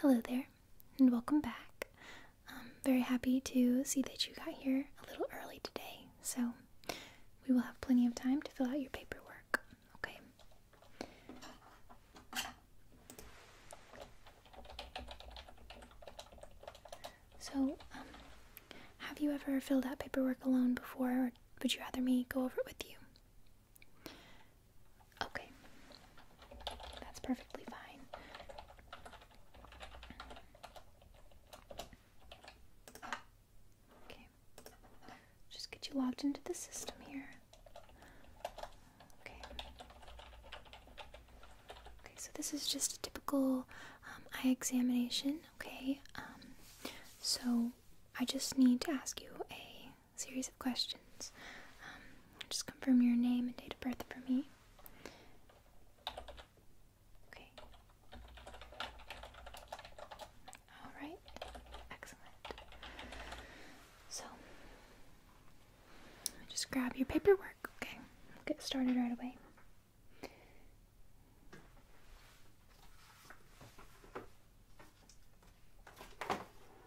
Hello there, and welcome back. I'm um, very happy to see that you got here a little early today, so we will have plenty of time to fill out your paperwork, okay? So, um, have you ever filled out paperwork alone before, or would you rather me go over it with you? Okay, that's perfectly fine. Okay, just get you logged into the system here. Okay. Okay, so this is just a typical um, eye examination. Okay, um, so I just need to ask you a series of questions. Um, just confirm your name and date of birth for me. Okay. Alright. Excellent. So, just grab your paperwork, okay? get started right away.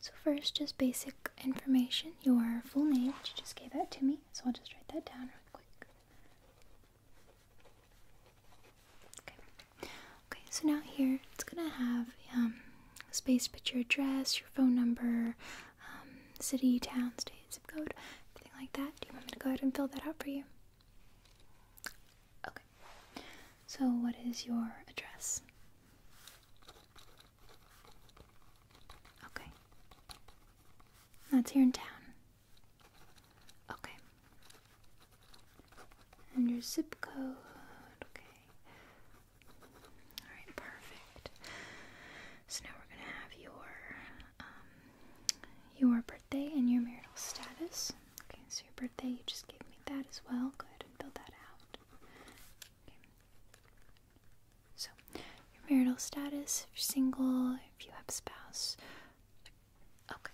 So first, just basic information. Your full name. You just gave that to me, so I'll just write that down real quick. Okay. Okay. So now here, it's gonna have um, space, Put your address, your phone number, um, city, town, state, zip code, everything like that. Do you want me to go ahead and fill that out for you? Okay. So, what is your address? Okay. That's here in town. Okay. And your zip code. Okay. Alright, perfect. So now we're going to have your um, your birthday and your marital status. Okay, so your birthday, you just gave me that as well. Go ahead and fill that out. Okay. So, your marital status, single, if you have a spouse. Okay.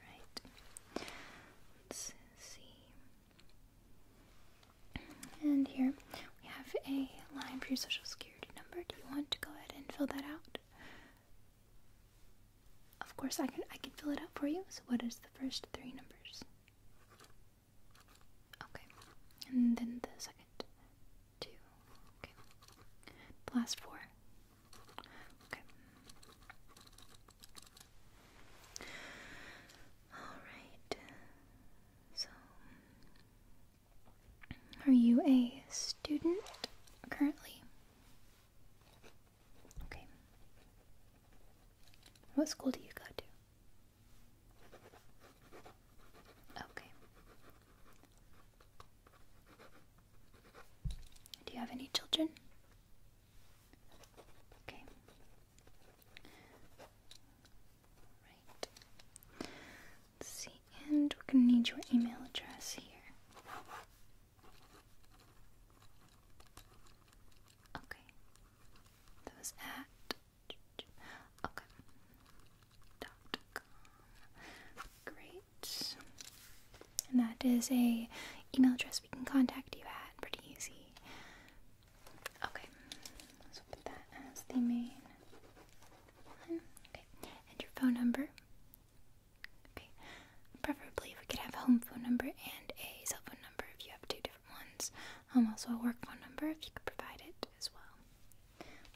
Right. Let's see. And here we have a line for your social security number. Do you want to go ahead and fill that out? Of course, I can I can fill it out for you. So, what is the first three numbers? Okay, and then the second two. Okay, the last four. Okay. All right. So are you a student currently? Okay. What school do you go to? Okay. Do you have any children? Okay see, and we're gonna need your email address here. Okay. That was at okay. Great. And that is a email address we can contact you at. Pretty easy. Okay, so put that as the main one. Okay, and your phone number. Okay, preferably we could have home phone number and a cell phone number if you have two different ones. Um, also a work phone number if you could provide it as well.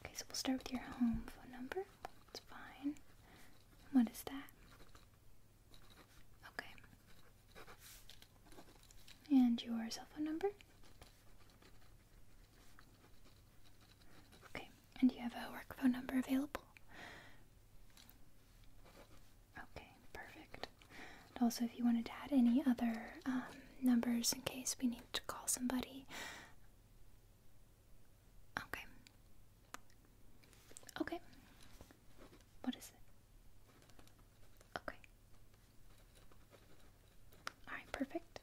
Okay, so we'll start with your home phone number. It's fine. What is that? Okay. And your cell phone number? Okay, and you have a work phone number available? Okay, perfect. also, if you wanted to add any other um, numbers in case we need to call somebody. Okay. Okay. What is it? Okay. Alright, perfect.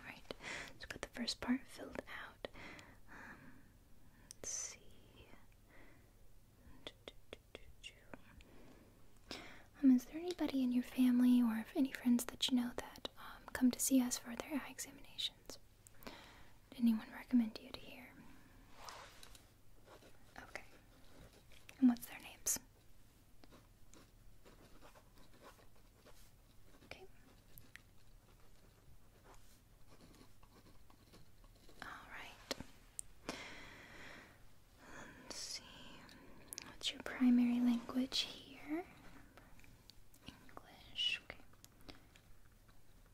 Alright, let's get the first part filled out. Um, let's see. Um, is there anybody in your family or any friends that you know that um, come to see us for their eye examinations? Did anyone recommend you to here? Okay. And what's their names? Okay. Alright. Let's see. What's your primary language here? English. Okay.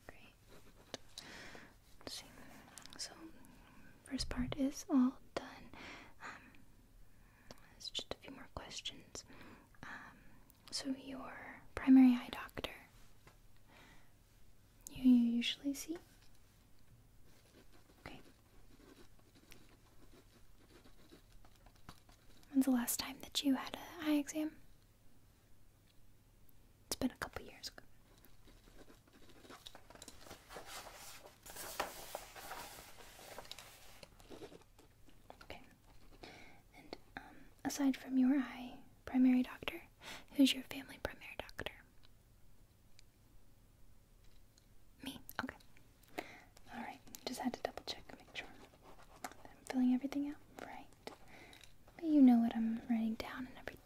Great. So first part is all done. Um, it's just a few more questions. Um, so your primary eye doctor you usually see? Okay. When's the last time that you had an eye exam? It's been a couple years ago. Okay. And um, aside from your eye primary doctor, who's your family primary doctor? Me. Okay. All right. Just had to double check, make sure I'm filling everything out right. But you know what I'm writing down and everything.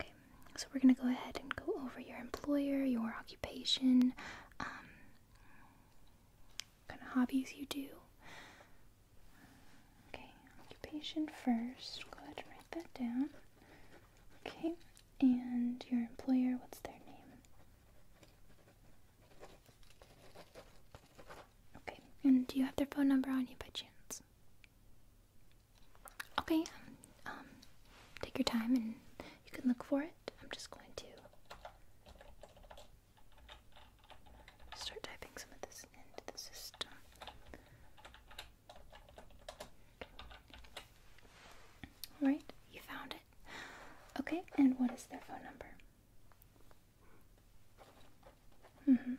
Okay, so we're gonna go ahead and go over your employer, your occupation, um, kind of hobbies you do. Okay, occupation first. Go ahead and write that down. Okay, and your employer, what's their name? Okay, and do you have their phone number on you by chance? Okay, um, take your time and you can look for it. I'm just going to start typing some of this into the system. Alright, you found it. Okay, and what is their phone number? Mm hmm.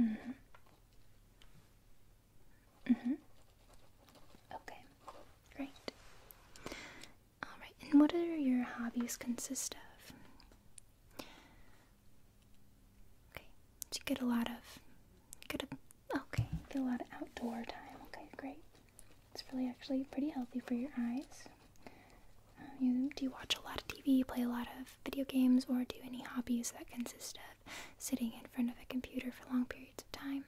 Mm-hmm. mm-hmm. Mm-hmm. Okay. Great. Alright, and what do your hobbies consist of? Okay. Do you get a lot of get a okay, get a lot of outdoor time. Okay, great. It's really actually pretty healthy for your eyes. Um, do you watch a lot of TV, play a lot of video games or do any hobbies that consist of sitting in front of a computer for long periods of time?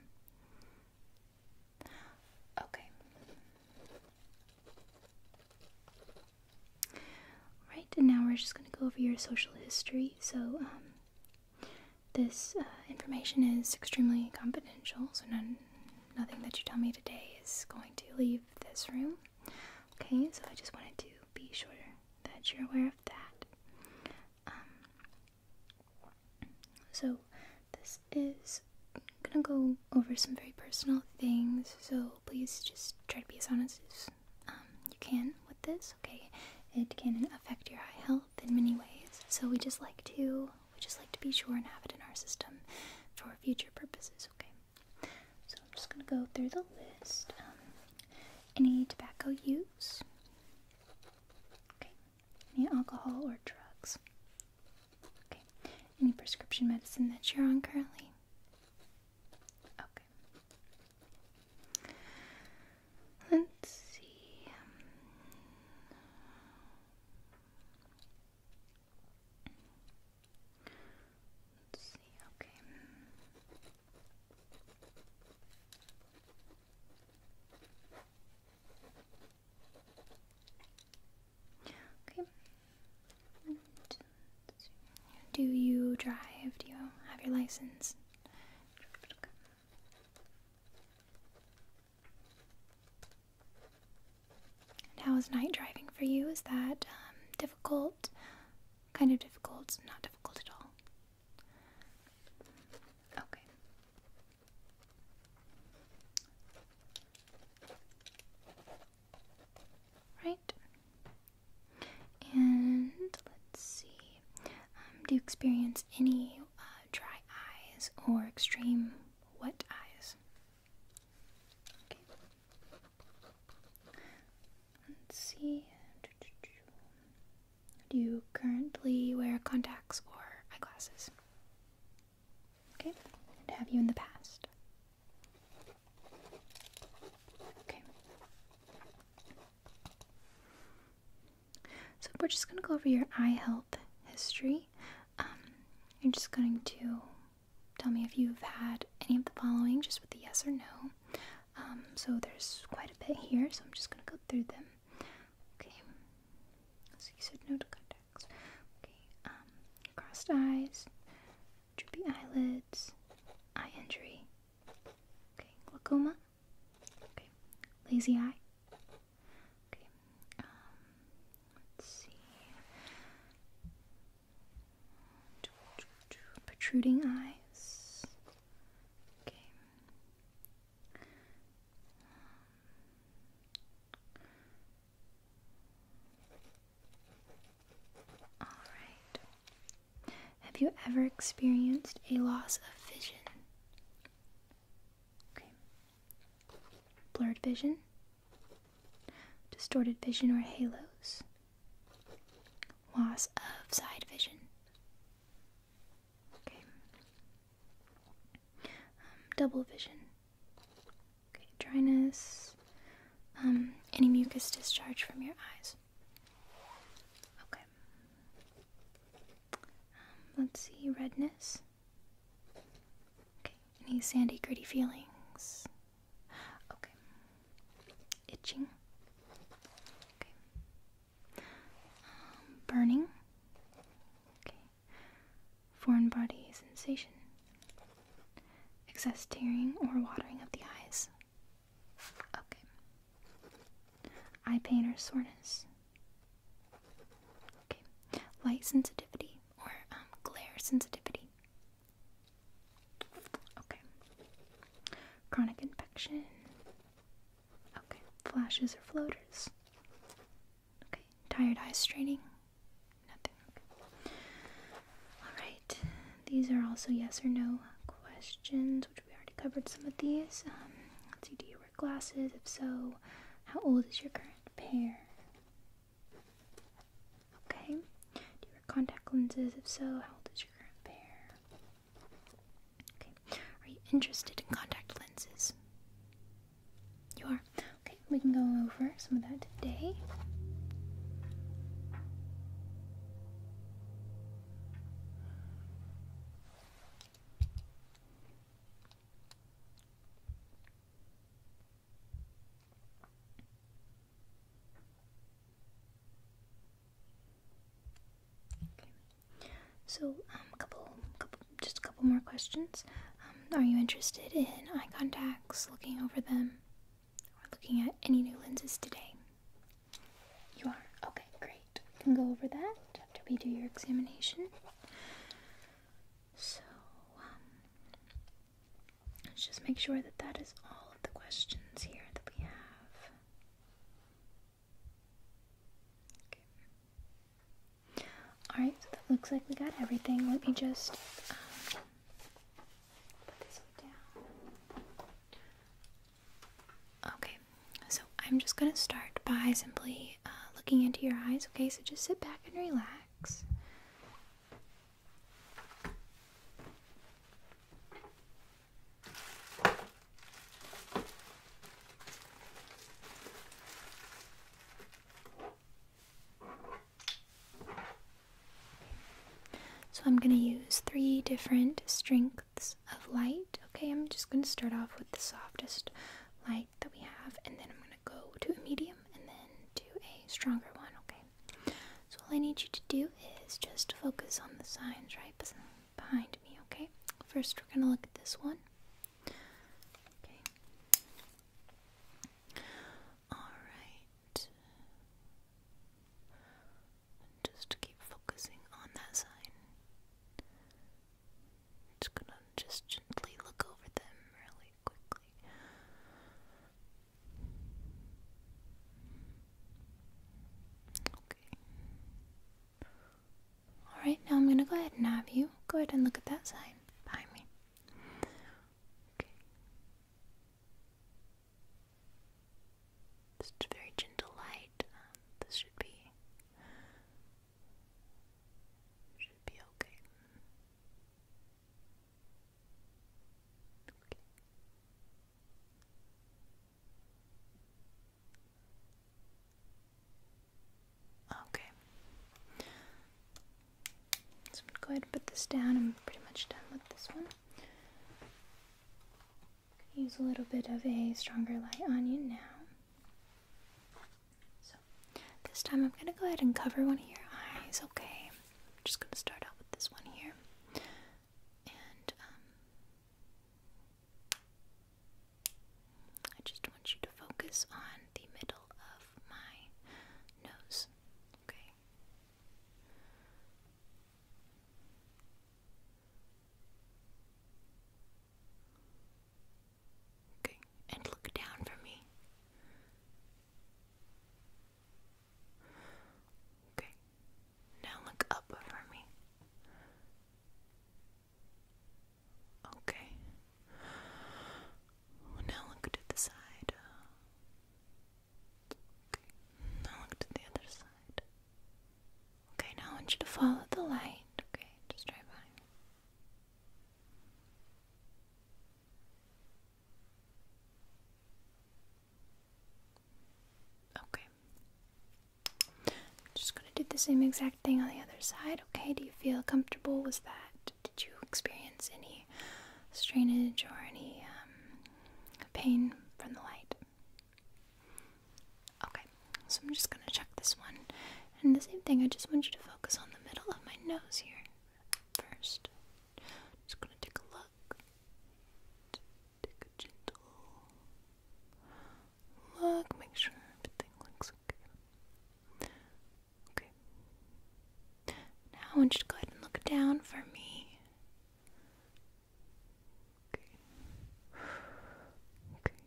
Okay. Right, and now we're just going to go over your social history. So, um, this uh, information is extremely confidential, so nothing that you tell me today is going to leave this room. Okay, so I just wanted to be sure that you're aware of that. Um, so this is gonna go over some very personal things, so please just try to be as honest as um, you can with this. Okay, it can affect your health in many ways, so we just like to we just like to be sure and have it in our system for future purposes. Okay. So I'm just going to go through the list. Um, any tobacco use? Okay. Any alcohol or drugs? Okay. Any prescription medicine that you're on currently? Okay. Let's see. Um, Let's see, okay. Okay. do you drive? Do you have your license? how is night driving for you? Is that um, difficult? kind of difficult, not difficult at all. Okay. Right. And let's see. Um, do you experience any uh, dry eyes or extreme wet eyes? Okay. Let's see. Do you currently wear contacts or eyeglasses? Okay. And have you in the past? Okay. So we're just going to go over your eye health history. Um, you're just going to tell me if you've had any of the following just with the yes or no. Um, so there's quite a bit here, so I'm just going to go through them. Okay. So you said no to contacts. Okay. Um, crossed eyes, droopy eyelids, eye injury. Okay. Glaucoma. Okay. Lazy eye. Okay. Um, let's see protruding eyes. Okay. All right. Have you ever experienced a loss of vision? Okay. Blurred vision? distorted vision or halos, loss of side vision. Okay. Um, double vision. Okay, dryness. Um, any mucus discharge from your eyes. Okay. Um, let's see, redness. Okay, any sandy, gritty feelings. Okay. Itching. Okay. Um, burning. Okay. Foreign body sensation. Excess tearing or watering of the eyes. Okay. Eye pain or soreness. Okay. Light sensitivity or um, glare sensitivity. Okay. Chronic infection. Okay. Flashes or floaters. Okay. Tired eyes, straining. Nothing. Alright. These are also yes or no questions, which we already covered some of these. Um, let's see, do you wear glasses? If so, how old is your current pair? Okay. Do you wear contact lenses? If so, how old is your current pair? Okay. Are you interested in contact lenses? You are. Okay, we can go over some of that today. So, um, couple, couple, just a couple more questions. Um, are you interested in eye contacts, looking over them, or looking at any new lenses today? You are? Okay, great. We can go over that after we do your examination. So, um, Let's just make sure that that is all of the questions here that we have. Alright, so that looks like we got everything. Let me just um, put this down. Okay, so I'm just going to start by simply uh, looking into your eyes. Okay, so just sit back and relax. So I'm going to use three different strengths of light. Okay, I'm just going to start off with the softest light that we have, and then I'm going to go to a medium and then do a stronger one, okay? So all I need you to do is just focus on the signs right behind me, okay? First, we're going to look at this one. Okay. Alright. Just keep focusing on that sign. Just gonna just gently look over them, really. Okay. Alright, now I'm gonna go ahead and have you go ahead and look at that sign behind me. Okay. Just very gentle light. Um, this should be should be okay. Okay. So I'm gonna go ahead and put this down. I'm pretty much done with this one. Use a little bit of a stronger light on you now. So this time I'm gonna go ahead and cover one of your eyes, okay? I'm just gonna start out with this one here. And um, I just want you to focus on the middle of my nose, okay? Okay and look down for me. Okay, now look up for me. Okay, now look to the side. now look to the other side. Okay, now I want you to follow the light. Okay, just try Okay. I'm just going to do the same exact thing on the other side. Okay, do you feel comfortable with that? Did you experience any strainage or any um, pain from the light? Okay, so I'm just going to check this one. And the same thing, I just want you to focus on the middle of my nose here first. Just gonna take a look. Take a gentle look. Make sure everything looks okay. Okay. Now I want you to go ahead and look down for me. Okay. Okay.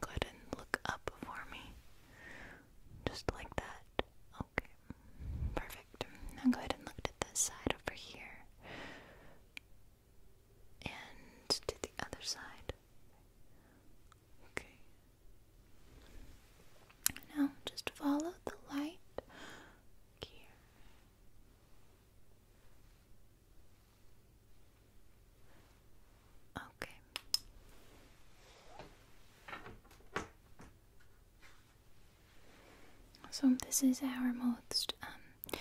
Go ahead and look up for me. Just like that. Okay. Perfect. Now go ahead and look at this side over here. And to the other side. Okay. Now just follow the light here. Okay. So this is our most um,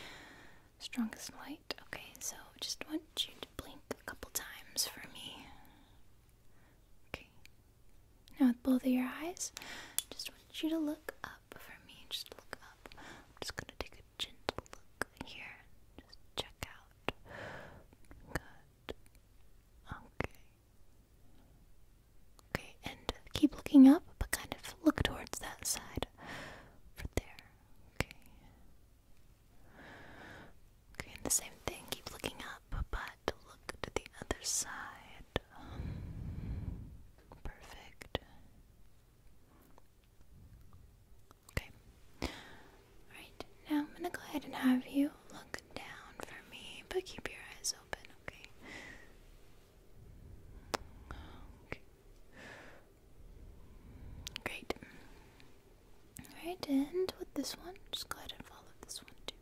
strongest light. Okay, so just want you to blink a couple times for me. Okay. Now with both of your eyes, just want you to look up for me. Just look up. I'm just gonna take a gentle look here. Just check out. Good. Okay. Okay, and keep looking up, but kind of look towards that side. Right there. Okay. Okay, and the same thing. Keep looking up, but look to the other side. Perfect. Okay. Alright, now I'm gonna go ahead and have you look down for me, but keep your eyes open, okay? Okay. Great. Alright, and with this one, just go ahead and follow this one too.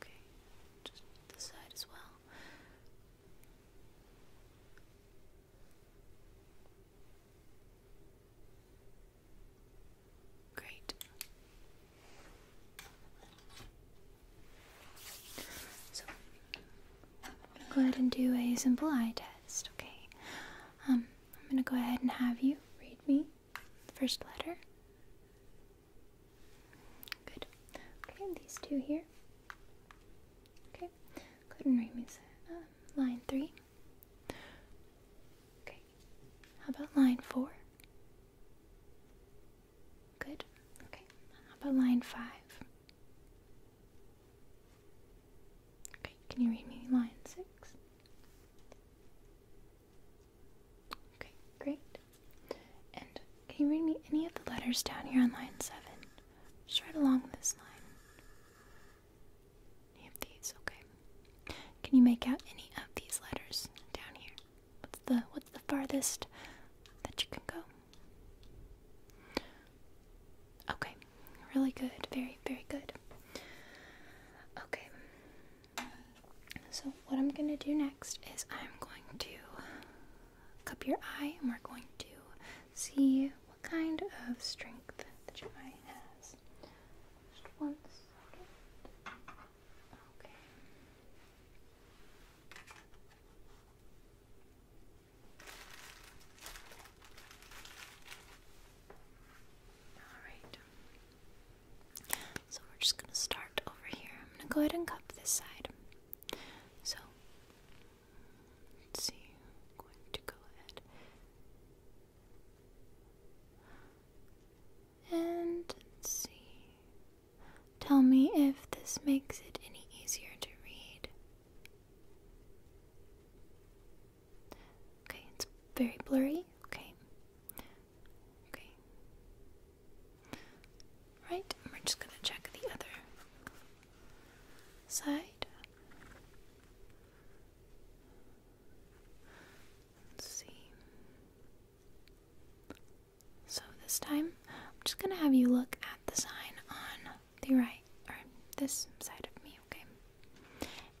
Okay, just the side as well. Great. So, go ahead and do a simple eye test, okay? Um, I'm gonna go ahead and have you read me first letter. Good. Okay, these two here. Okay, Good. and read me uh, line three. Okay, how about line four? Good. Okay, how about line five? Okay, can you read me line six? Okay, great. And can you read me any of the letters down here on line seven? Just right along this line. Any of these, okay. Can you make out any of these letters down here? What's the what's the farthest that you can go? Okay. Really good. Very, very good. Okay. So what I'm gonna do next is I'm going to cup your eye and we're going to see what kind of strength the your eye has. Just one second. Okay. Alright. So we're just going to start over here. I'm going to go ahead and cup this side. So, Let's see. going to go ahead and let's see. Tell me if this makes it any easier to read. Okay, it's very blurry. Okay. Okay. Right, we're just gonna check the other side see so this time I'm just gonna have you look at the sign on the right or this side of me okay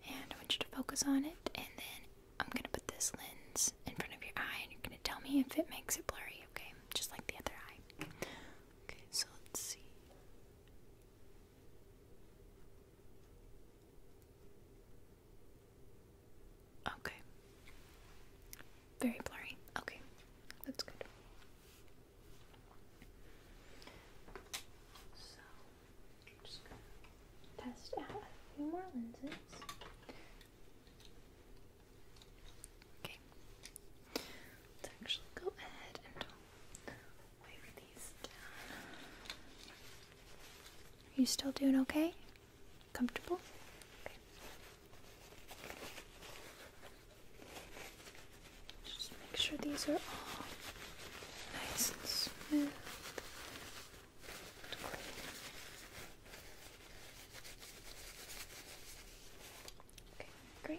and I want you to focus on it and then I'm gonna put this lens in front of your eye and you're gonna tell me if it makes it blurry okay just like the other eye Okay, so let's see. Okay. Very blurry. Okay, that's good. So, just gonna test out a few more lenses. Okay. Are you still doing okay? Comfortable? Just make sure these are all nice and smooth. great.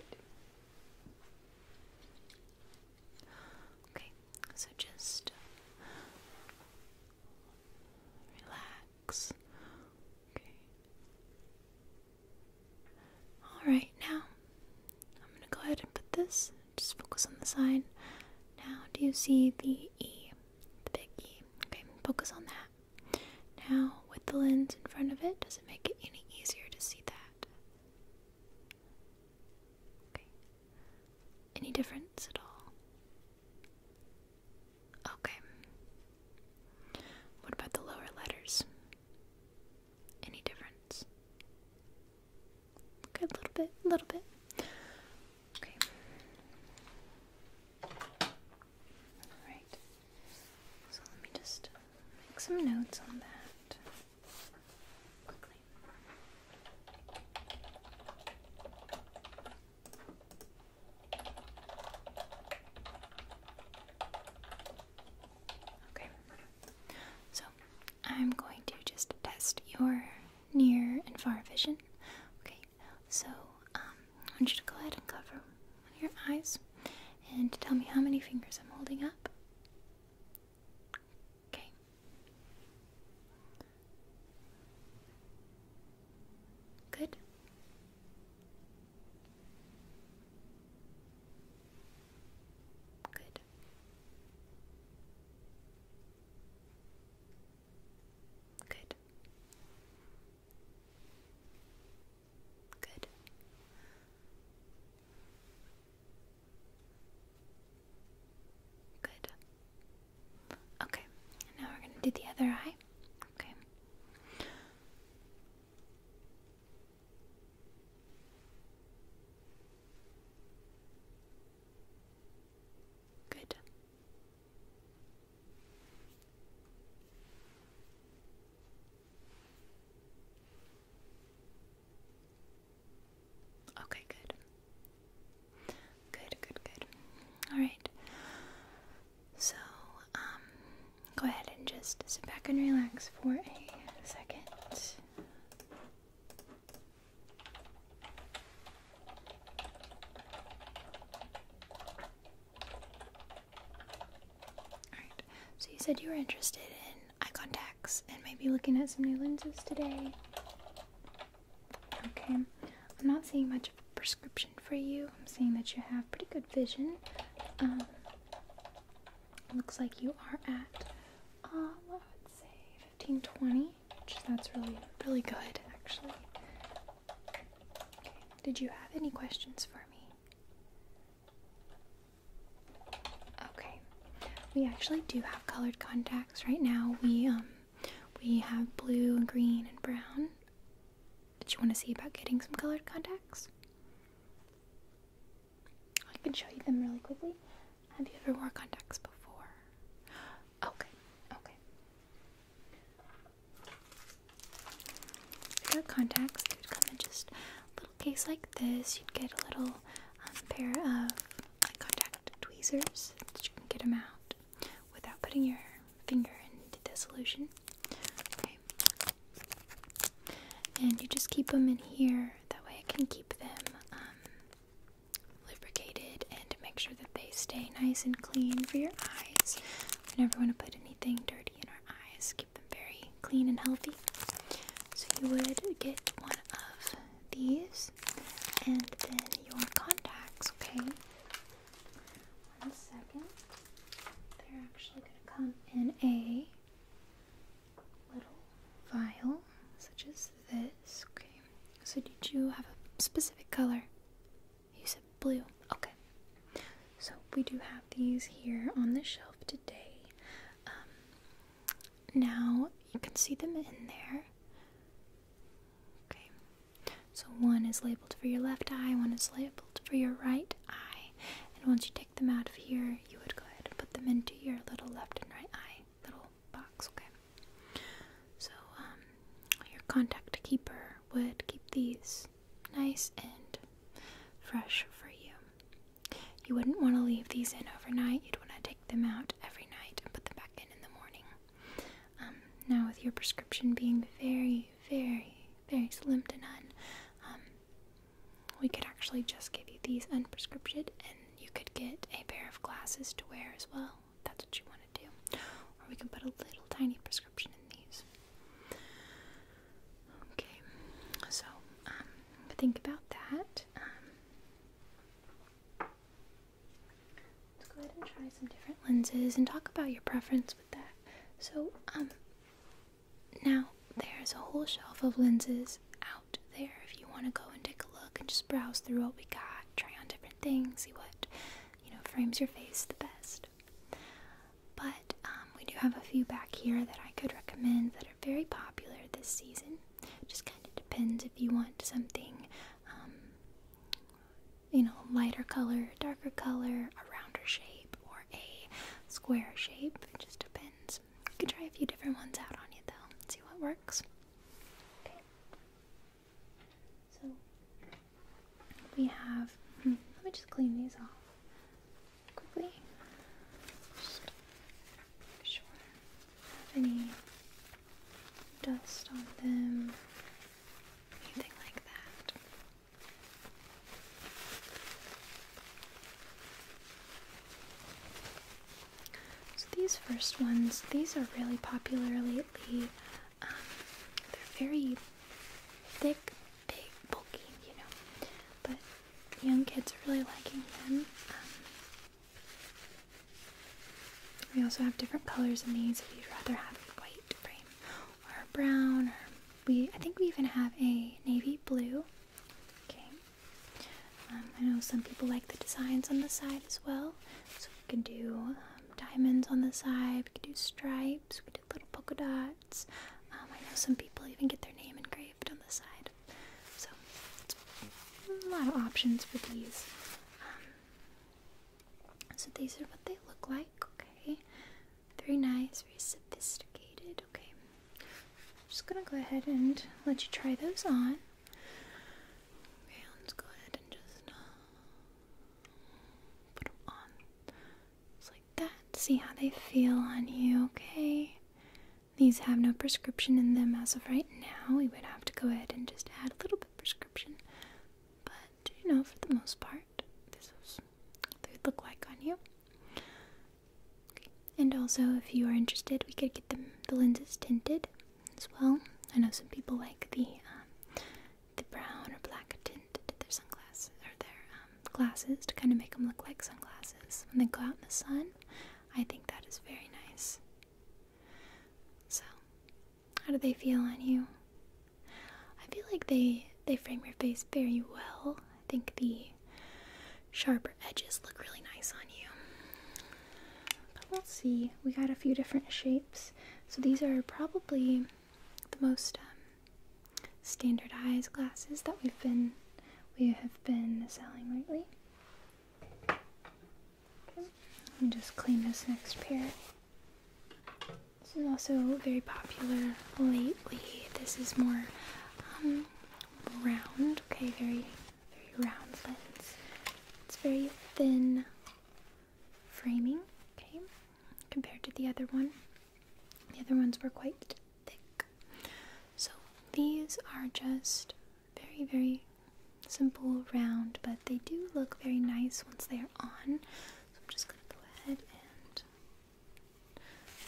Okay, so just uh, relax. Okay. Alright, now I'm going to go ahead and put this, just focus on the sign. Now, do you see the E? The big E. Okay, focus on that. Now, with the lens in front of it, does it make it any easier to see that? Okay. Any difference at all? Okay. What about the lower letters? Any difference? Okay, a little bit, a little bit. Okay. Alright. So let me just make some notes on that quickly. Okay, so I'm going to just test your near and far vision. Okay, so um, I want you to go ahead and cover on your eyes and tell me how many fingers I'm holding up. Okay. Good. Good. Good. Good. Good. Okay, now we're going to do the other eye. Okay. Good. Okay, good. Good, good, good. Alright. So, um, go ahead and just sit back and relax for a second. Alright, so you said you were interested in eye contacts and maybe looking at some new lenses today. Okay, I'm not seeing much of a prescription for you. I'm seeing that you have pretty good vision. Um, looks like you are at, um, I would say 1520, which that's really, really good actually. Okay. Did you have any questions for me? Okay, we actually do have colored contacts right now. We um we have blue and green and brown. Did you want to see about getting some colored contacts? I can show you them really quickly. Have you ever wore contacts before? Okay, okay. Without contacts, you would come in just little case like this. You'd get a little um, pair of contact tweezers that you can get them out without putting your finger into the solution. Okay. And you just keep them in here. That way, I can keep them um, lubricated and make sure that they stay nice and clean for your eyes. I never want to put anything dirty in our eyes, keep them very clean and healthy. So you would get one of these and then your contacts, okay? One second. They're actually going to come in a little vial, such as this, okay? So, did you have a specific color? You said blue. Okay. So we do have these here on the shelf today. Um, now you can see them in there. Okay. So one is labeled for your left eye, one is labeled for your right eye. And once you take them out of here, you would go ahead and put them into your little left and right eye little box, okay? So um, your contact keeper would keep these nice and fresh for you. You wouldn't want to leave these in overnight. You'd want to take them out every night and put them back in in the morning. Um, now, with your prescription being very, very, very slim to none, um, we could actually just give you these unprescribed, and you could get a pair of glasses to wear as well. If that's what you want to do, or we can put a little tiny prescription Okay, so um, think about that. Um, let's go ahead and try some different lenses and talk about your preference with that. So, um, now there's a whole shelf of lenses out there if you want to go and take a look and just browse through what we got, try on different things, see what you know frames your face the best but um, we do have a few back here that I could recommend that are very popular this season. Just kind of depends if you want something, um, you know, lighter color, darker color, a rounder shape, or a square shape. It just depends. You could try a few different ones out on you though, see what works. Okay. So we have, hmm, let me just clean these off quickly. sure any dust on them, anything like that. So these first ones, these are really popular lately. Um, they're very thick, big, bulky, you know. But young kids are really liking them. Um, we also have different colors in these if you'd rather have a white frame or a brown or we I think we even have a navy blue. Okay. Um, I know some people like the designs on the side as well. So we can do diamonds on the side, we can do stripes, little polka dots. Um, I know some people even get their name engraved on the side. So, a lot of options for these. Um, so, these are what they look like. Okay. Very nice, very sophisticated. Okay. I'm just gonna go ahead and let you try those on. let's go ahead and just uh, put them on. Just like that. See how they feel on you, okay? These have no prescription in them as of right now. We would have to go ahead and just add a little bit prescription. But, you know, for the most part, this is what they look like on you. Okay. And also, if you are interested, we could get the lenses tinted as well. I know some people like the um, the brown or black tinted their sunglasses or their um, glasses to kind of make them look like sunglasses when they go out in the sun. I think that is very nice. So, how do they feel on you? I feel like they they frame your face very well. I think the sharper edges look really nice on you. But we'll see. We got a few different shapes. So these are probably the most um, standardized glasses that we've been we have been selling lately. Let me just clean this next pair. This is also very popular lately. This is more um, round, okay, very very round lens. It's very thin framing, okay compared to the other one. The other ones were quite thick. So these are just very, very simple round, but they do look very nice once they are on. So I'm just going to go ahead and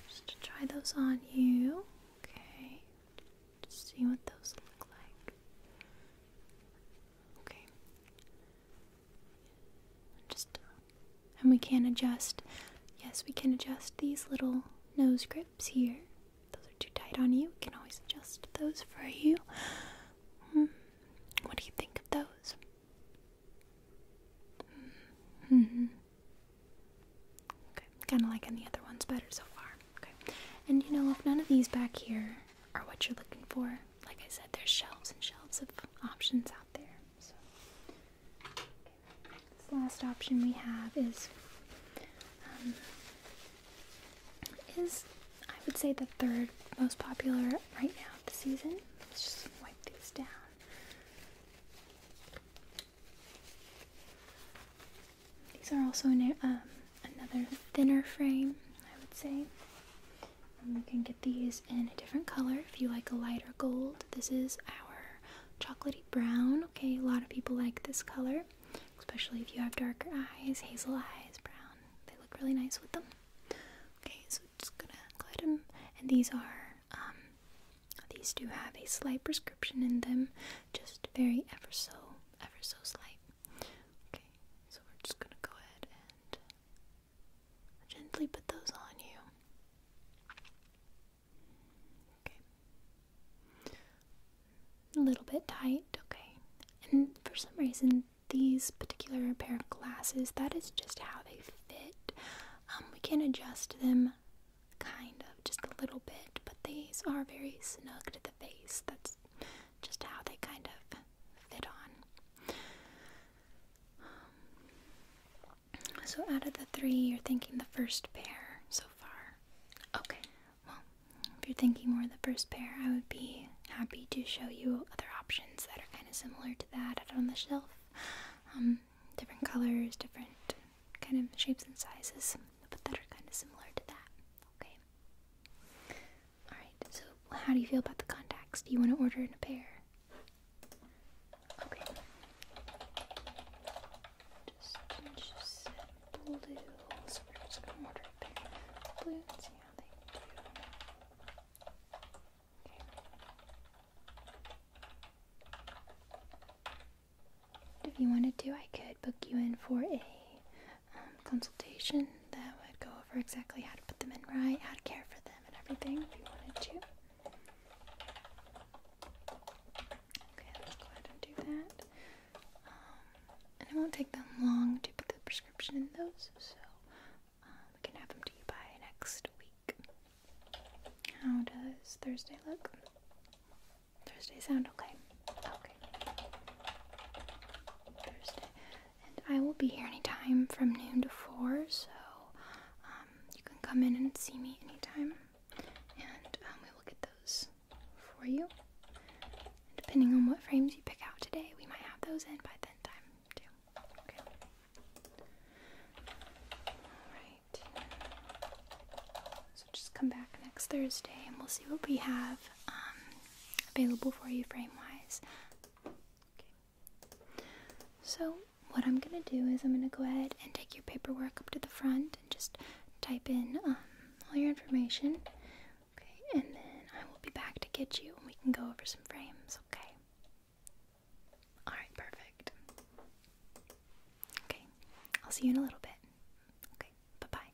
just try those on you. Okay, just see what those look like. Okay. Just and we can adjust. Yes, we can adjust these little nose grips here. Those are too tight on you. We can always adjust those for you. Hmm. What do you think of those? hmm. Okay, kind of like any other ones better so far. Okay, and you know if none of these back here are what you're looking for. Like I said, there's shelves and shelves of options out there. So this last option we have is um, is I would say the third most popular right now of the season. Let's just wipe these down. These are also um, another thinner frame, I would say. And you can get these in a different color if you like a lighter gold. This is our chocolatey brown. Okay, a lot of people like this color, especially if you have darker eyes, hazel eyes, brown. They look really nice with them. Okay, so just gonna go ahead and, these are, um, these do have a slight prescription in them, just very ever so, ever so slight. Okay, so we're just gonna go ahead and Gently put those on you. Okay. A little bit tight, okay. And for some reason, these particular pair of glasses, that is just how they fit. Um, we can adjust them kind of just a little bit, but these are very snug to the face. That's just how they kind of fit on so out of the three, you're thinking the first pair so far. Okay. Well, if you're thinking more of the first pair, I would be happy to show you other options that are kind of similar to that on the shelf. Um, different colors, different kind of shapes and sizes, but that are kind of similar to that. Okay. Alright, so how do you feel about the contacts? Do you want to order in a pair? Okay. Just, just blue. So we're just going to order a pair blue see how they do. Okay. If you wanted to, I could book you in for a um, consultation that would go over exactly how to put them in right, how to care for them, and everything if you wanted to. Okay, let's go ahead and do that. Um, and it won't take them long to put the prescription in those, so um, we can have them to you by next week. How does Thursday look? Thursday sound okay? Okay. Thursday. And I will be here anytime from noon to four, so um, you can come in and see me anytime. And um, we will get those for you. Depending on what frames you pick out today, we might have those in by then time too. Okay. Alright. So just come back next Thursday and we'll see what we have um, available for you frame wise. So, what I'm going to do is I'm going to go ahead and take your paperwork up to the front and just type in um, all your information. Okay, and then I will be back to get you and we can go over some frames, okay? Alright, perfect. Okay, I'll see you in a little bit. Okay, bye bye.